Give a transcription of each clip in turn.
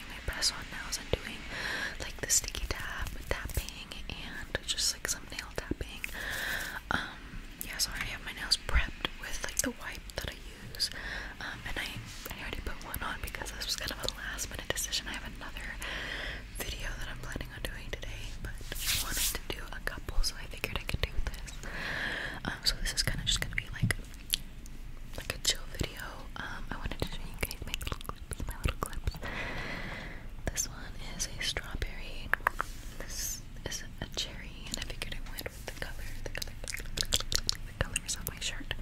applying press on nails and doing like the sticky tap tapping and just like some nail tapping. Um, yeah, so I have my nails prepped with like the wipe that I use. Um, and I, already put one on because this was kind of a last minute decision. I have another video that I'm planning on doing today, but wanted to do a couple, so I figured I could do this. Um, so this is kind of just gonna be like like a chill video. Um, I wanted to show you guys my little clips, This one is a strawberry. This is a cherry, and I figured I went with the color, the color, the colors on my shirt.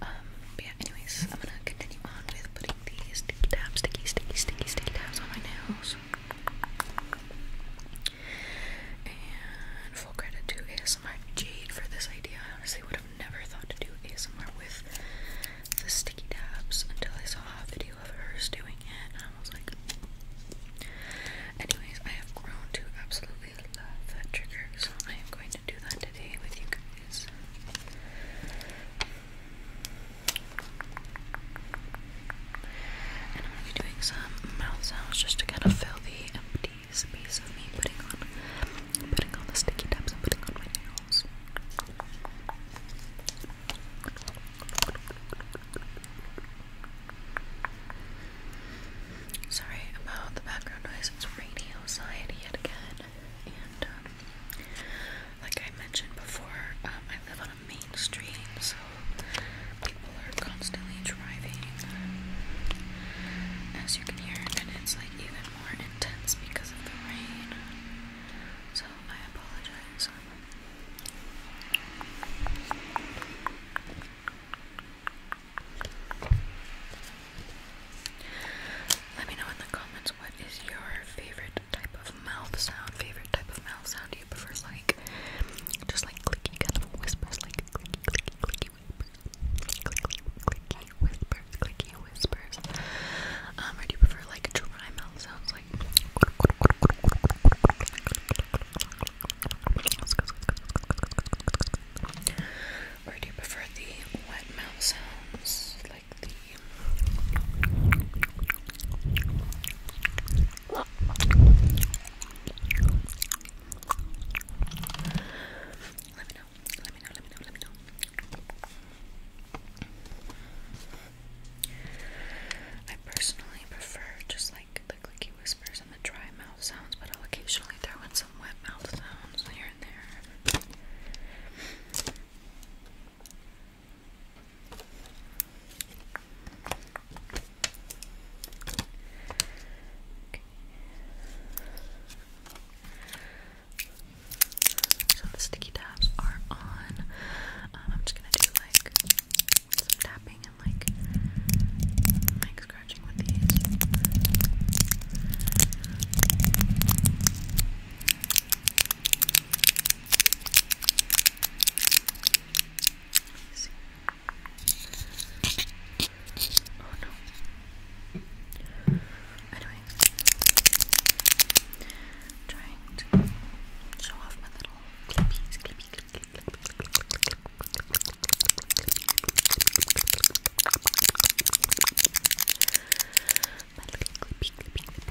Um, yeah. Anyways, I'm gonna continue on with putting these sticky tabs, sticky, sticky, sticky, sticky tabs on my nails. And full credit to ASMR ASMR Jade for this idea. I honestly would have never thought to do ASMR with the sticky tabs until I saw a video of hers doing it, I was like. Anyways, I have grown to absolutely love that trigger, so I am going to do that today with you guys. And I'm going to be doing some mouth sounds just to kind of fill the empty Piece of me putting on putting on the sticky tabs and putting on my nails. Sorry about the background noise, it's rainy outside yet again. And um, like I mentioned before, um, I live on a main street, People are constantly driving, as you can hear, and it's like even more intense because of the rain. So I apologize. Let me know in the comments what is your favorite type of mouth sound, favorite type of mouth sound do you prefer like just like clicky kind of whispers, like clicky, clicky, clicky whispers, clicky, clicky whispers, clicky whispers? Um, or do you prefer like dry mouth sounds, like? Or do you prefer the wet mouth sounds, like the? Let me know. Let me know. Let me know. Let me know. I personally prefer just like the clicky whispers and the dry mouth sounds, but I'll occasionally throw in some wet mouth sounds here and there. So the sticky tabs are on. Um, I'm just gonna do like tapping and like like scratching with these. Oh no. Anyway, trying to show off my little clippies, clippy, clippy, clippy, clippy, clippy. My little clippy, clippy, clippies.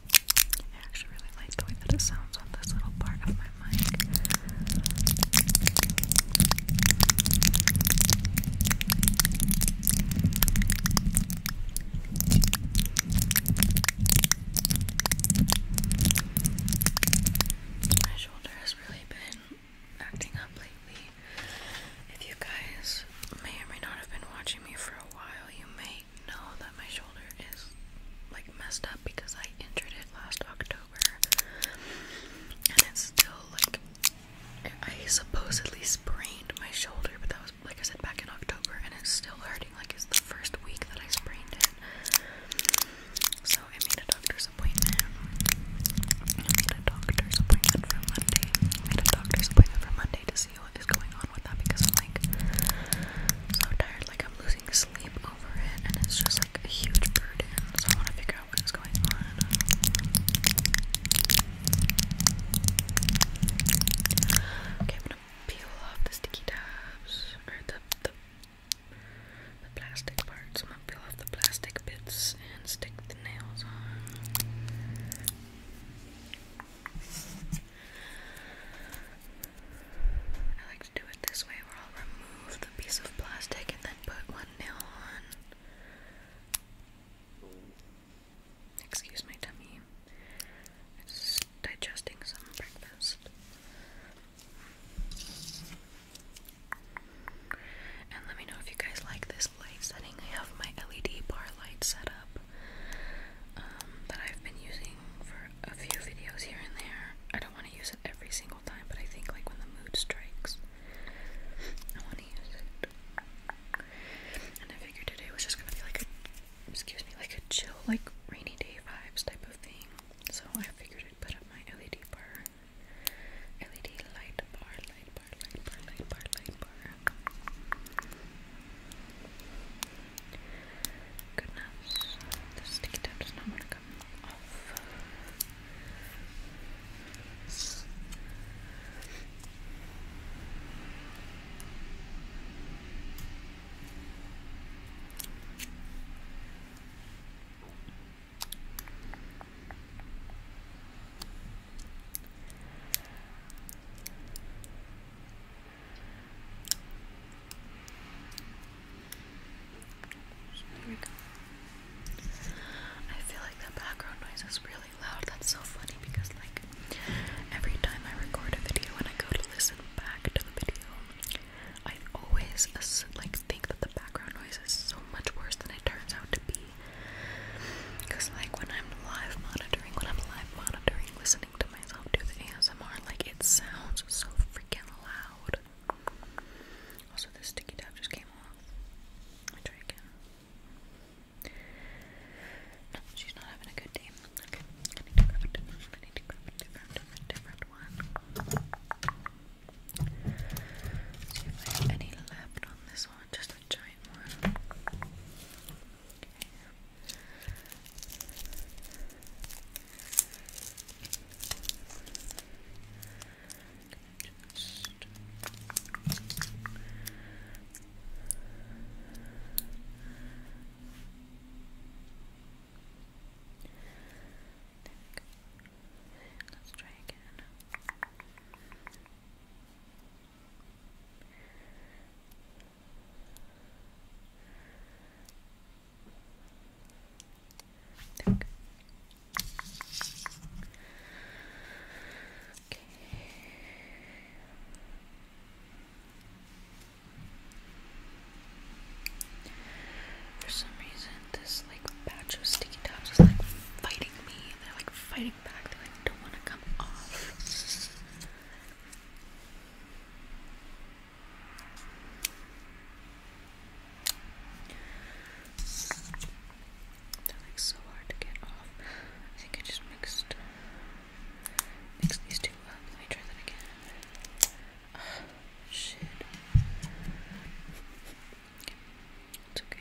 I actually really like the way that it sounds on this little part of my mic. My shoulder has really been acting up lately. If you guys may or may not have been watching me for a while, you may know that my shoulder is like messed up because I injured it last October and it's still like I supposedly sprained my shoulder but that was like I said back in October and it's still hurting like it's the first week that I sprained it so I made a doctor's appointment I made a doctor's appointment for Monday I made a doctor's appointment for Monday to see who is going on with that because I'm like so tired, like I'm losing sleep over it, and it's just like a huge burden. So I want to figure out what is going on. Okay, I'm gonna peel off the sticky tabs or the the the plastic parts. I'm gonna peel off the plastic bits and stick the nails on. I like to do it this way where I'll remove the piece of plastic and then put one nail on. Excuse my tummy. It's digesting some breakfast. And let me know if you guys like this light setting. I have my LED bar light set up. Um, that I've been using for a few videos here and there. I don't want to use it every single time, but I think like when the mood strikes, I want to use it. And I figured today was just gonna be like a, excuse me, like a chill, like rainy day vibes type of thing. So I figured I'd put up my LED bar, LED light bar, light bar, light bar, light bar, light bar. Goodness, the sticky tip does not want to come off. I feel like the background noise is really loud. That's so funny because, like, every time I record a video and I go to listen back to the video, I always like think that the background noise is so much worse than it turns out to be. Because, like, when I'm live monitoring, when I'm live I'm monitoring listening to myself do the ASMR. Like, it sounds so freaking loud. Also, this sticky tab just came off. try again. she's not having a good day. Okay, I need to grab I need to grab a different, one. Let's have any left on this one. Just a giant one. Let's try again. There For some reason, this like batch of sticky tops is like fighting me. They're like fighting I They're like so hard to get off. I think I just mixed mixed these two up. Let me try that again. shit. It's okay.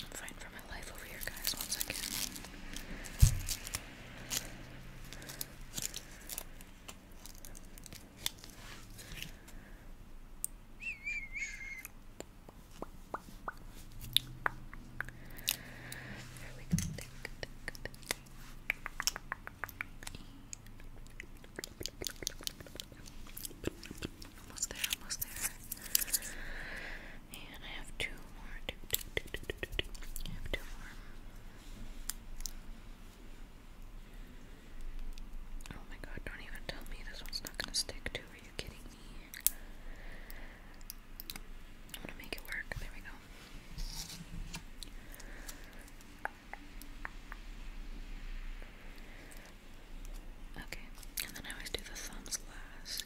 I'm fighting for my life over here, guys. One second. There we go. Tick, tick, tick. Almost there, almost there. And I have two more. I have two more. Oh my god, don't even tell me this one's not gonna stick too. Are you kidding me? I'm gonna make it work. There we go. Okay, and then I always do the thumbs last.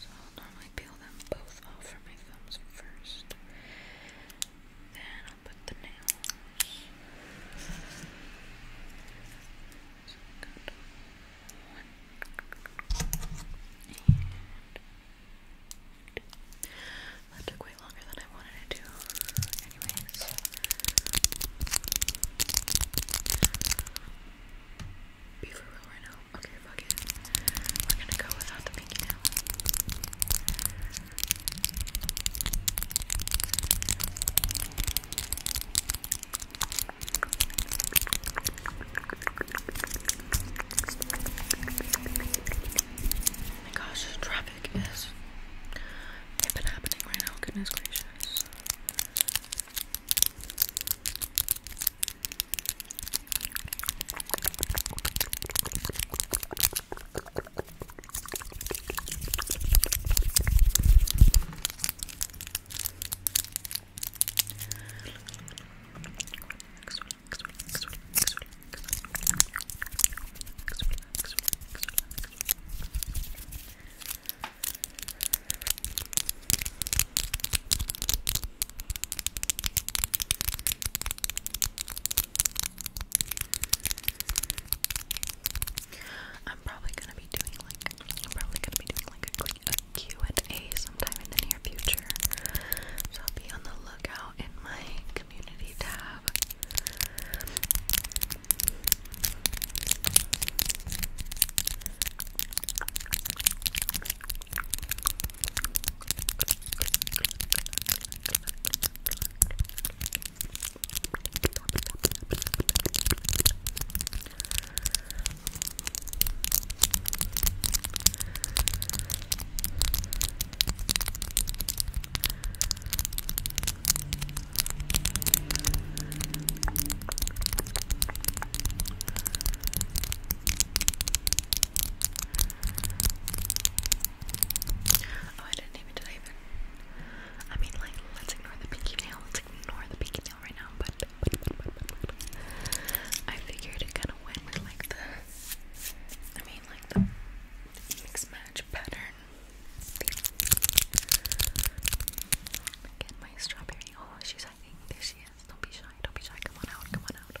So I'll normally peel them both off for my thumbs first. Then I'll put the nails. That took way longer than I wanted it to. Anyways. Be for real right now. Okay, fuck it. We're gonna go without the pinky now. Oh my gosh, traffic is been happening right now, goodness gracious. Relax, relax, relax, relax, relax. Relax, relax, relax, relax. I'm probably gonna be doing like I'm probably gonna be doing like a, a Q and A sometime in the near future. So be on the lookout in my community tab. Oh, I didn't even, did I even? I mean, like, let's ignore the pinky nail. Let's ignore the pinky I figured it kind of went with like the, I mean like the mix match pattern. Get my strawberry. Oh, she's hiding. There she is. Don't be shy. Don't be shy. Come on out. Come on out.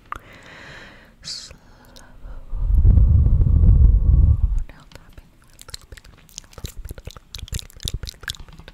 Slow. Now tapping a little bit, a little bit, a little bit, a little bit, a little bit.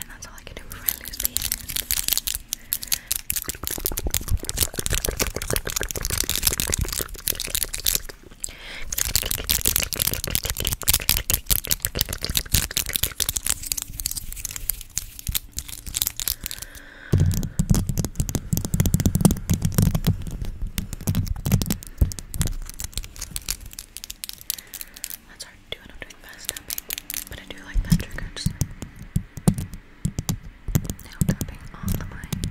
And that's all I can do for I lose that's hard to do when I'm doing fast tapping, but I do like that trigger. nail tapping on the mic.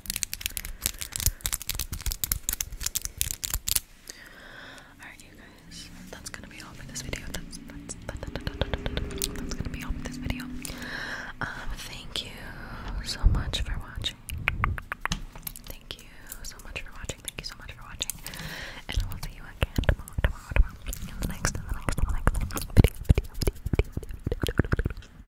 Alright, you guys, that's gonna be all for this video. That's that's that's gonna be all for this video. Um, thank you so much for watching. Thank you so much for watching. Thank you so much for watching. And I will see you again tomorrow, tomorrow, tomorrow. next, the next, the next